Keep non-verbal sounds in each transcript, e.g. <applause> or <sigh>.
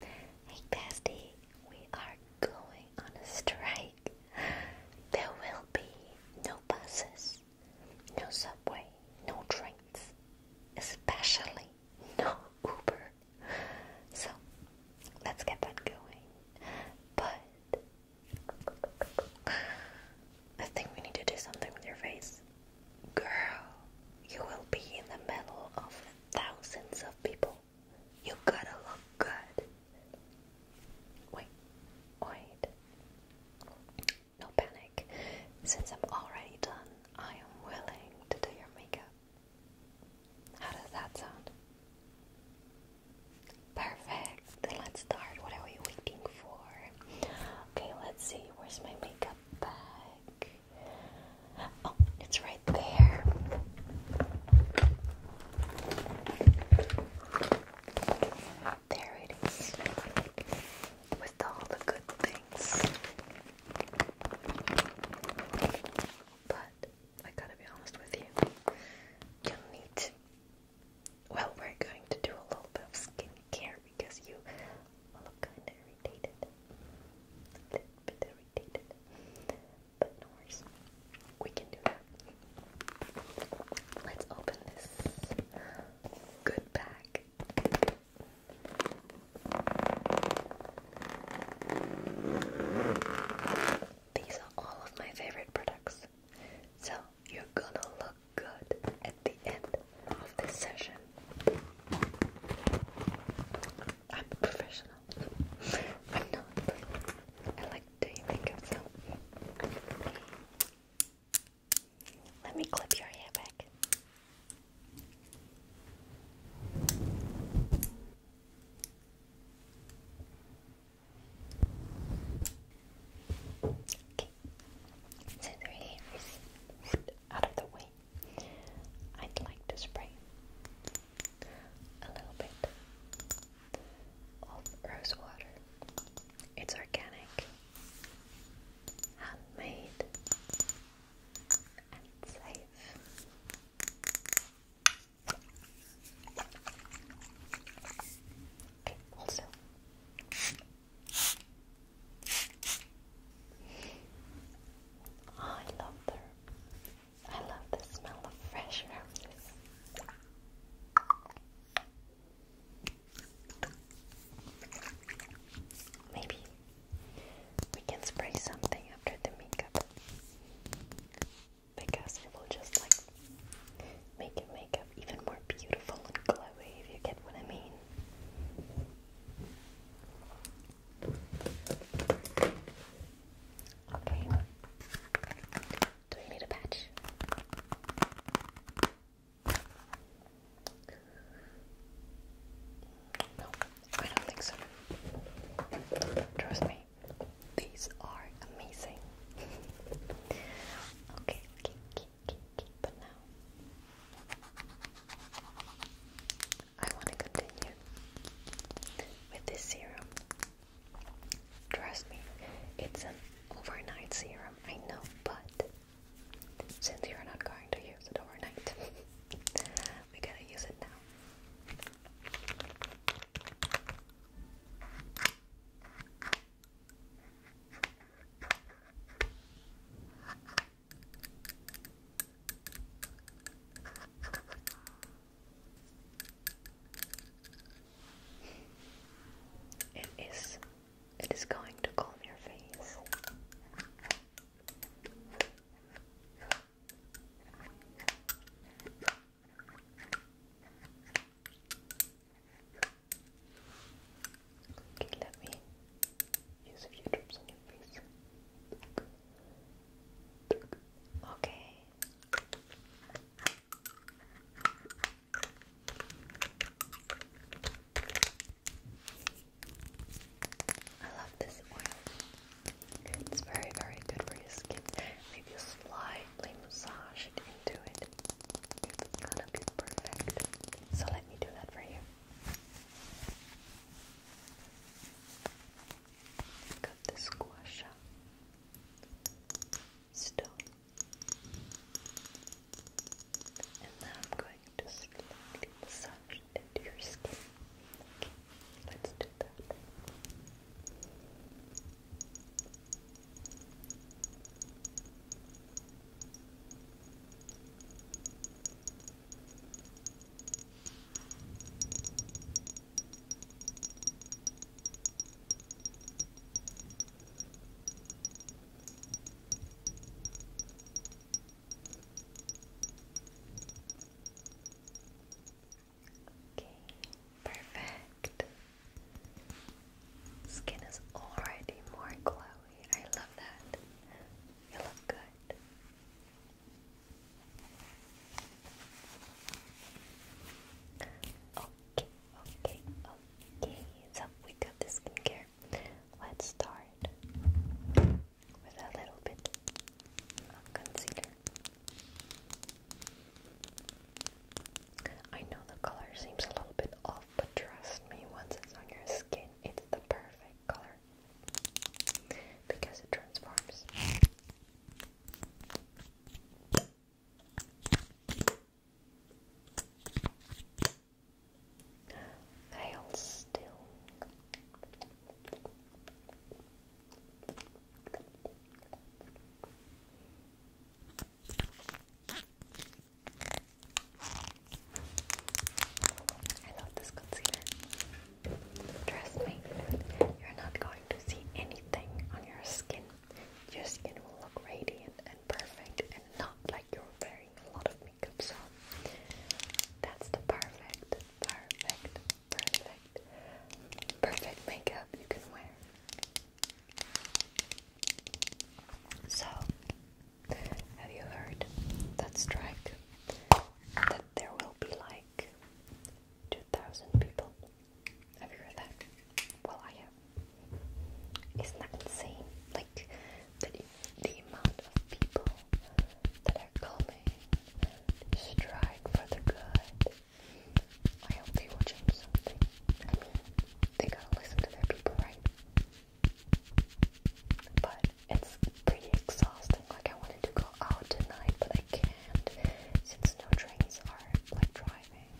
Hey bestie, we are going on a strike. There will be no buses, no subway, no trains, especially no Uber. So let's get that going. But I think we need to do something with your face. Girl, you will be in the middle of thousands of people you gotta look good. Wait, wait. No panic. Since I'm already done, I am willing to do your makeup. How does that sound? Perfect. Then let's start. What are we waiting for? Okay, let's see. Where's my makeup bag? Oh, it's right there. There it is. With all the good things. But I gotta be honest with you. You'll need. Well, we're going to do a little bit of skincare because you look kind of irritated. A little bit but no worries. We can do that. Let's open this good bag. These are all of my favorite products. So you're gonna look good at the end of this session. I'm a professional. I'm not. I like doing makeup, so. Let me clip your hair back. Okay. So the hair out of the way. I'd like to spray a little bit of rose water. It's organic, handmade, and safe. also. I love the I love the smell of fresh roses. Maybe we can spray something after the makeup because it will just like make your makeup even more beautiful and glowy if you get what I mean. Okay. Do we need a patch? No, I don't think so. Trust me, these are amazing. <laughs> okay, okay, okay, okay, but now. I want to continue with this serum. Trust me, it's an overnight serum, I know, but since you're not going to use it overnight, <laughs> we gotta use it now. It is it is going to calm your face. Okay, let me use a few drops on your face. Okay. I love this oil. It's very, very good for your skin. Maybe slightly massage it into it. It's gonna be perfect. So let me do that for you. Got the squash stone, and now I'm going to slightly massage into your skin. let's do that. Okay, perfect. Skin is already more glowy. I love that. You look good. Okay, okay, okay. So we got the skincare. Let's start with a little bit of concealer. I know the color seems a little bit off, but trust me, once it's on your skin, it's the perfect color because it transforms. Hail still. I love this concealer. Trust me, you're not going to see anything on your skin. Your skin will look radiant and perfect and not like you're wearing a lot of makeup. So that's the perfect, perfect, perfect, perfect makeup you can wear. So, have you heard that strike? there will be like 2,000 people. Have you heard that? Well, I have. Isn't that insane? Like, the, the amount of people that are coming strike for the good. I hope they will change something. I mean, they gotta listen to their people, right? But it's pretty exhausting. Like I wanted to go out tonight, but I can't since no trains are like driving.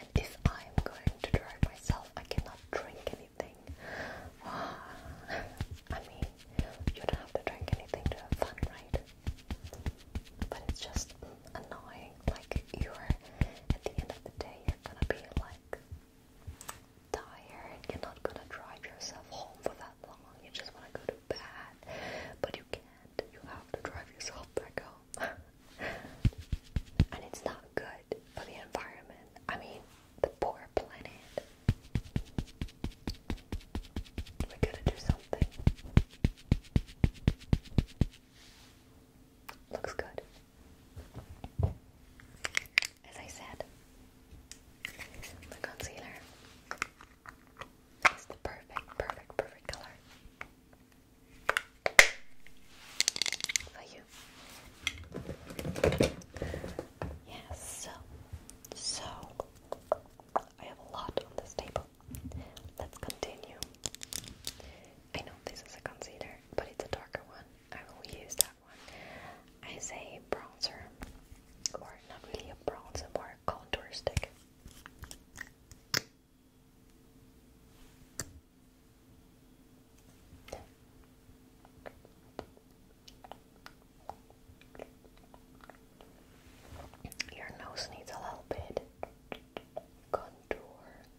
And if I'm going to drive myself, I cannot drink anything. <sighs> I mean, you don't have to drink anything to have fun, right? But it's just annoying. Like, you're at the end of the day, you're gonna be like tired. You're not gonna drive yourself home for that long. You just wanna go to bed, but you can't. You have to drive yourself back home, <laughs> and it's not good for the environment. I mean, the poor planet. We gotta do something. Looks good as I said, the concealer is the perfect, perfect, perfect color for you. Yes, so, so I have a lot on this table. Let's continue. I know this is a concealer, but it's a darker one. I will use that I say bronzer, or not really a bronzer, more contour stick. Your nose needs a little bit contour.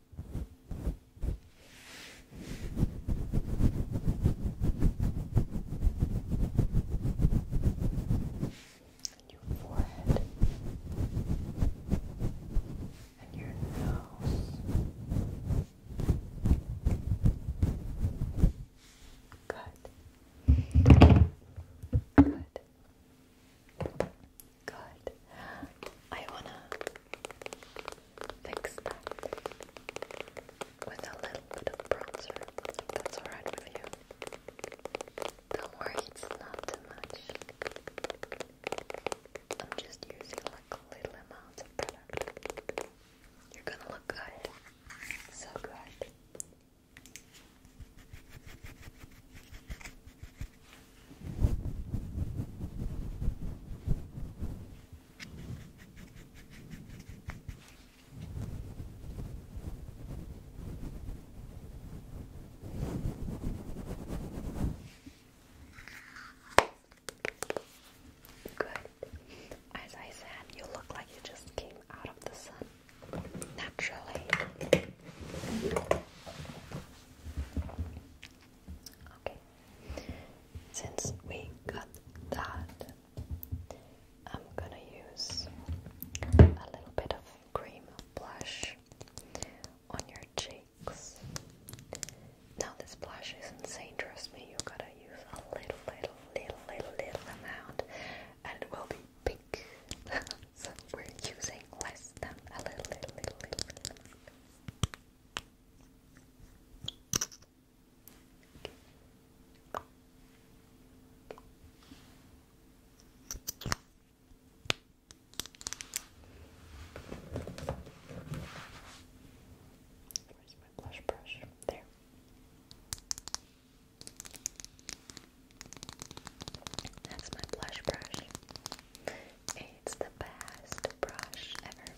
And your forehead and your nose. Good. Good. Good. I wanna fix that with a little bit of bronzer. that's alright with you. Don't worry, it's not too much. I'm just using like a little amount of product. You're gonna look good. So good. Good. As I said, you look like you just came out of the sun naturally. Okay. Since we got that, I'm gonna use a little bit of cream blush on your cheeks. Now, this blush is insane, trust me, you gotta use a little, little, little, little, little amount, and it will be pink. <laughs> we're using less than a little, little, little. Where's my blush brush? There. That's my blush brush. It's the best brush ever.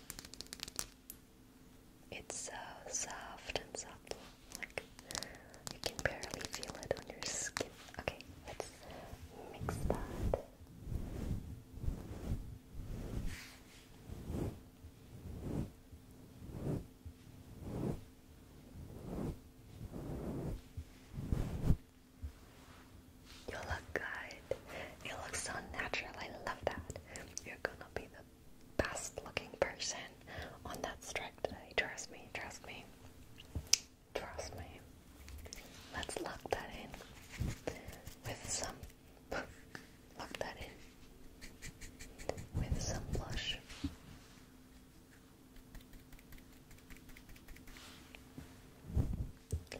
It's so soft and subtle, like you can barely feel it on your skin. Okay, let's mix that. You look good. You look so natural. I love that. You're gonna be the best looking person on that strike today. Trust me, trust me. Trust me. Let's lock that in with some lock that in with some blush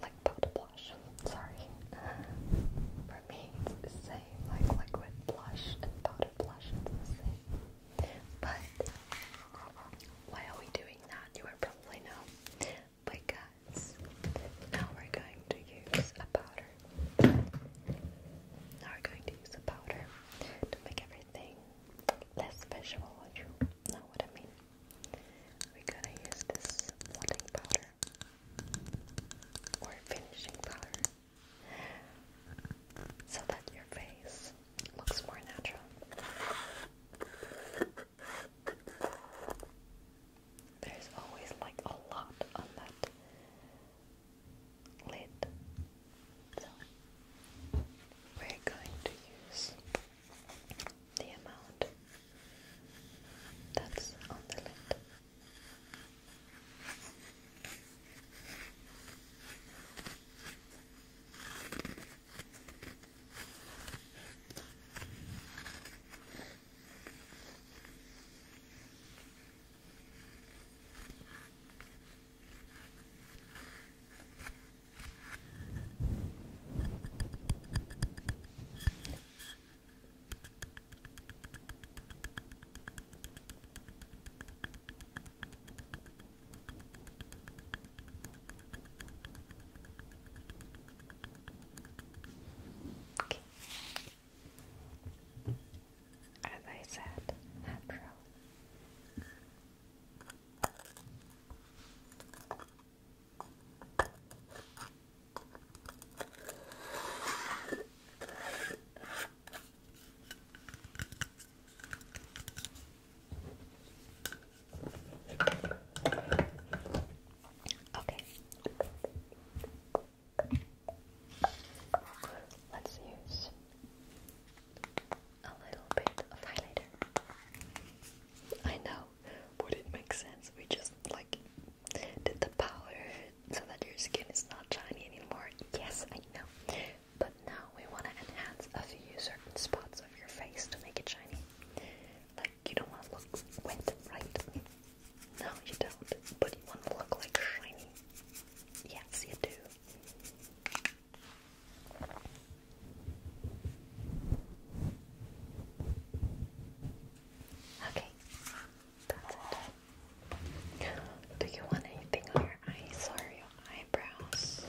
like powder blush. Sorry. For me, it's the same. Like liquid blush and powder blush, it's the same. But why are we doing that? You probably know. Because now we're going to use a powder. Now we're going to use a powder to make everything less visual. You know what I mean? We're gonna use this blotting powder or finishing powder so that your face looks more natural. There's always like a lot on that lid. So we're going to use the amount that's on the lid. Okay. As I said, natural. Okay. Let's use a little bit of highlighter. I know would it make sense? We just like did the powder so that your skin is not shiny anymore. Yes, I know. But now we want to enhance a few certain spots of your face to make it shiny. Like you don't want to look wet, right? No, you don't. But you want to look like shiny. Yes, you do. Okay, that's it. Do you want anything on your eyes or your eyebrows?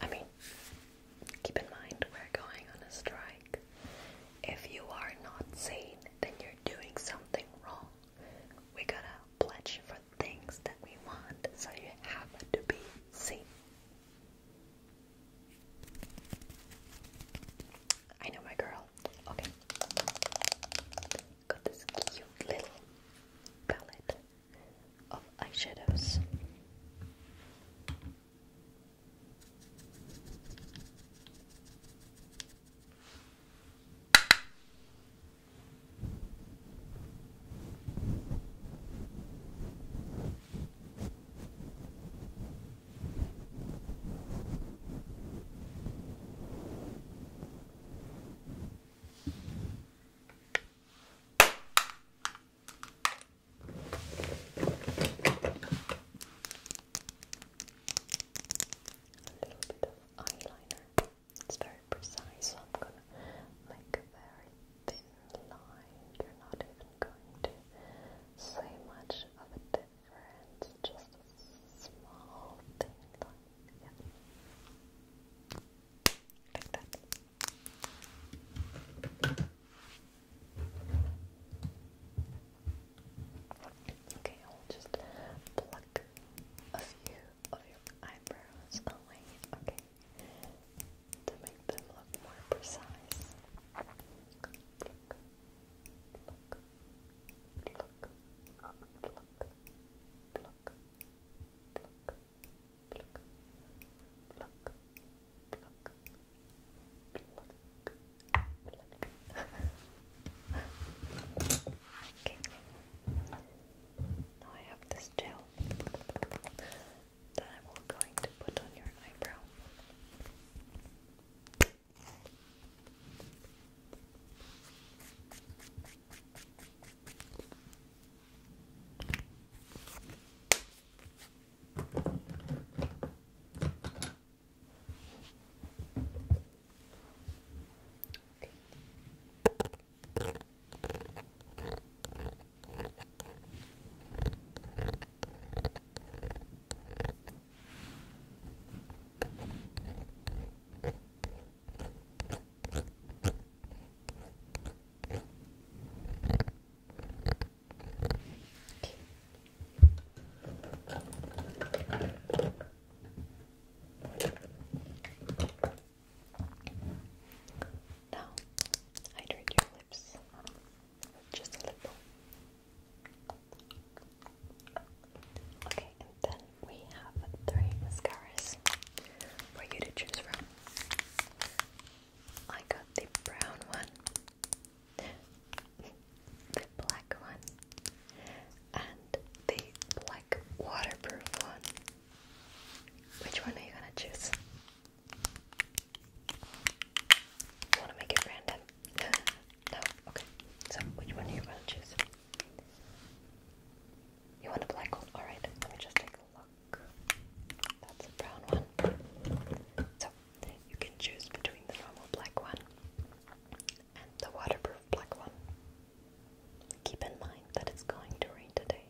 I mean, keep in mind we're going on a strike. If you are not seen, then you're doing something wrong. We gotta pledge for things that we want, so you have to be seen. I know my girl. Okay. Got this cute little palette of eyeshadows bit of eyeliner. It's very precise, so I'm gonna make a very thin line. You're not even going to say much of a difference, just a small thin line. Yeah. Like that. Okay, I'll just pluck a few of your eyebrows away. Okay to make them look more precise. <laughs> okay. Now I have this gel that I'm going to put on your eyebrow. Okay. Now, hydrate your lips just a little. Okay, and then we have three mascaras for you to choose from. I got the brown one, the black one, and the black waterproof one. Which one are you gonna choose? Want to make it random? <gasps> no. Okay. So which one do you want to choose? You want a black one? All right. Let me just take a look. That's a brown one. So you can choose between the normal black one and the waterproof black one. Keep in mind that it's going to rain today.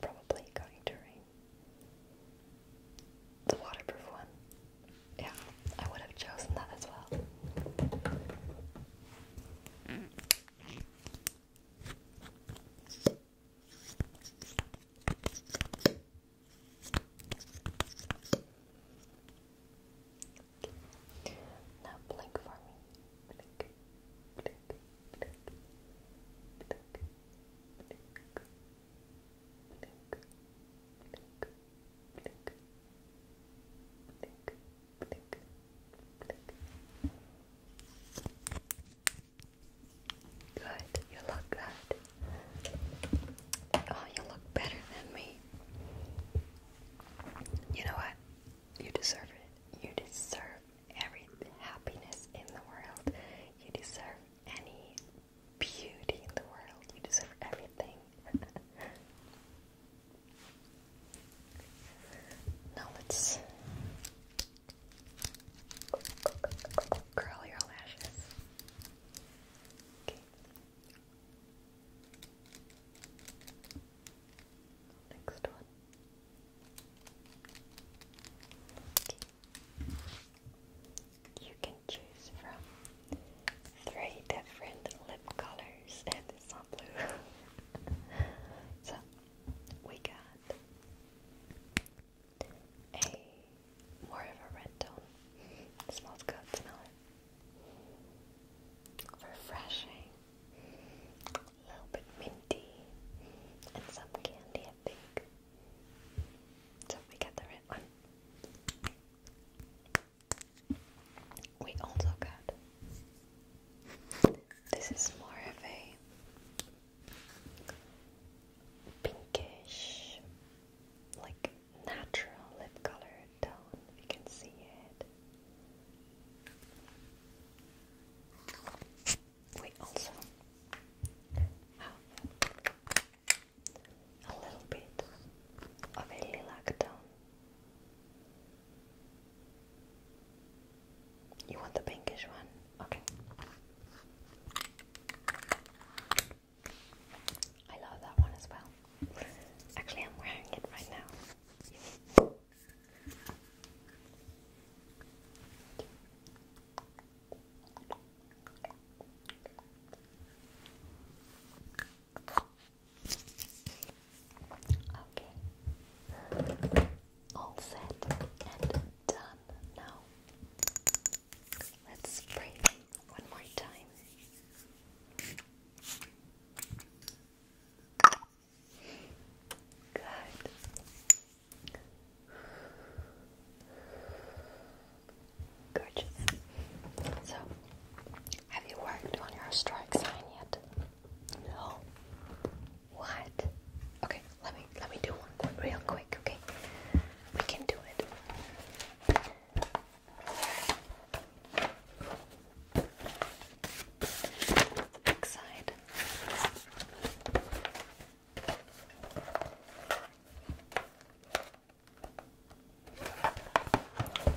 Probably going to rain. The waterproof one. Yeah, I would have chosen that as well. Now blink for me. Blink, Good, you look good. Oh, you look better than me. You know what? You deserve it. You deserve every happiness in the world. You deserve any beauty in the world. You deserve everything. <laughs> now let's curl your lashes. Okay. Next one. Okay. You can choose from three different lip colors, and it's blue. <laughs> so we got a more of a red tone. smells good, smell Refreshing, a little bit minty, and some candy, I think. So we get the red one. We also got this is more of a pinkish, like natural lip color tone. If you can see it we also have a little bit of a lilac tone. You want the pinkish one? Okay. I love that one as well. Actually, I'm wearing it right now. Okay, all set and done now. Let's spray one more time. Good. Gorgeous. So, have you worked on your strike sign yet? No. What? Okay, let me let me do one real quick. Okay, we can do it. Back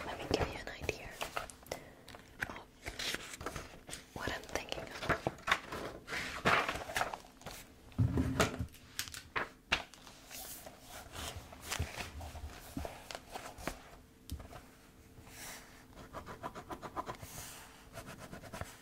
let me give you an idea of what I'm thinking of.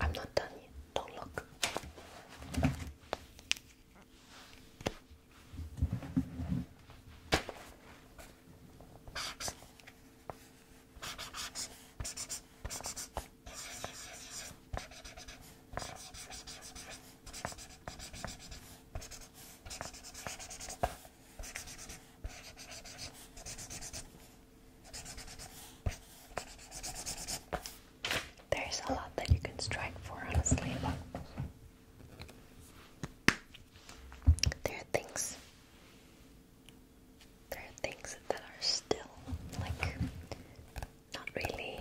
I'm not done yet. Don't look. <laughs> There's a lot that you can strike for, honestly, but there are things. There are things that are still like not really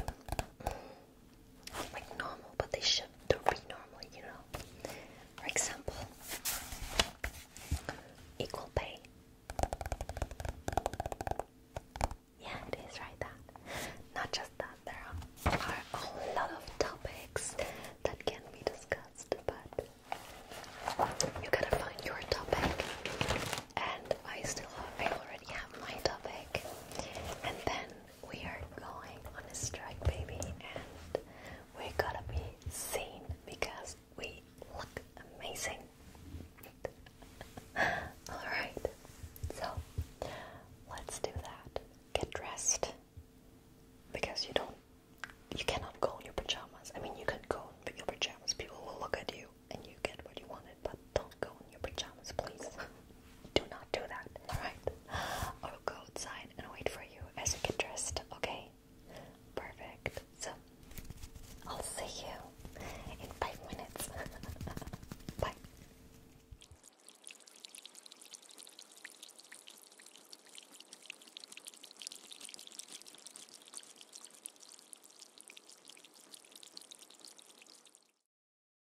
like normal, but they should don't be normal, you know. For example, equal pay. Yeah, it is right that. Not just that, there are a lot of topics that can be discussed, but you gotta find your topic. And I still already have my topic, and then we are going on a strike, baby, and we gotta be seen because we look amazing. <laughs> Alright, so let's do that. Get dressed because you don't, you cannot go in your pajamas. I mean, you can go in your pajamas, people will look at you and you get what you wanted, but don't go in your pajamas, please. <laughs> do not do that, alright? I'll go outside and wait for you as you get dressed, okay? Perfect. So, I'll see you in five minutes. <laughs> Bye.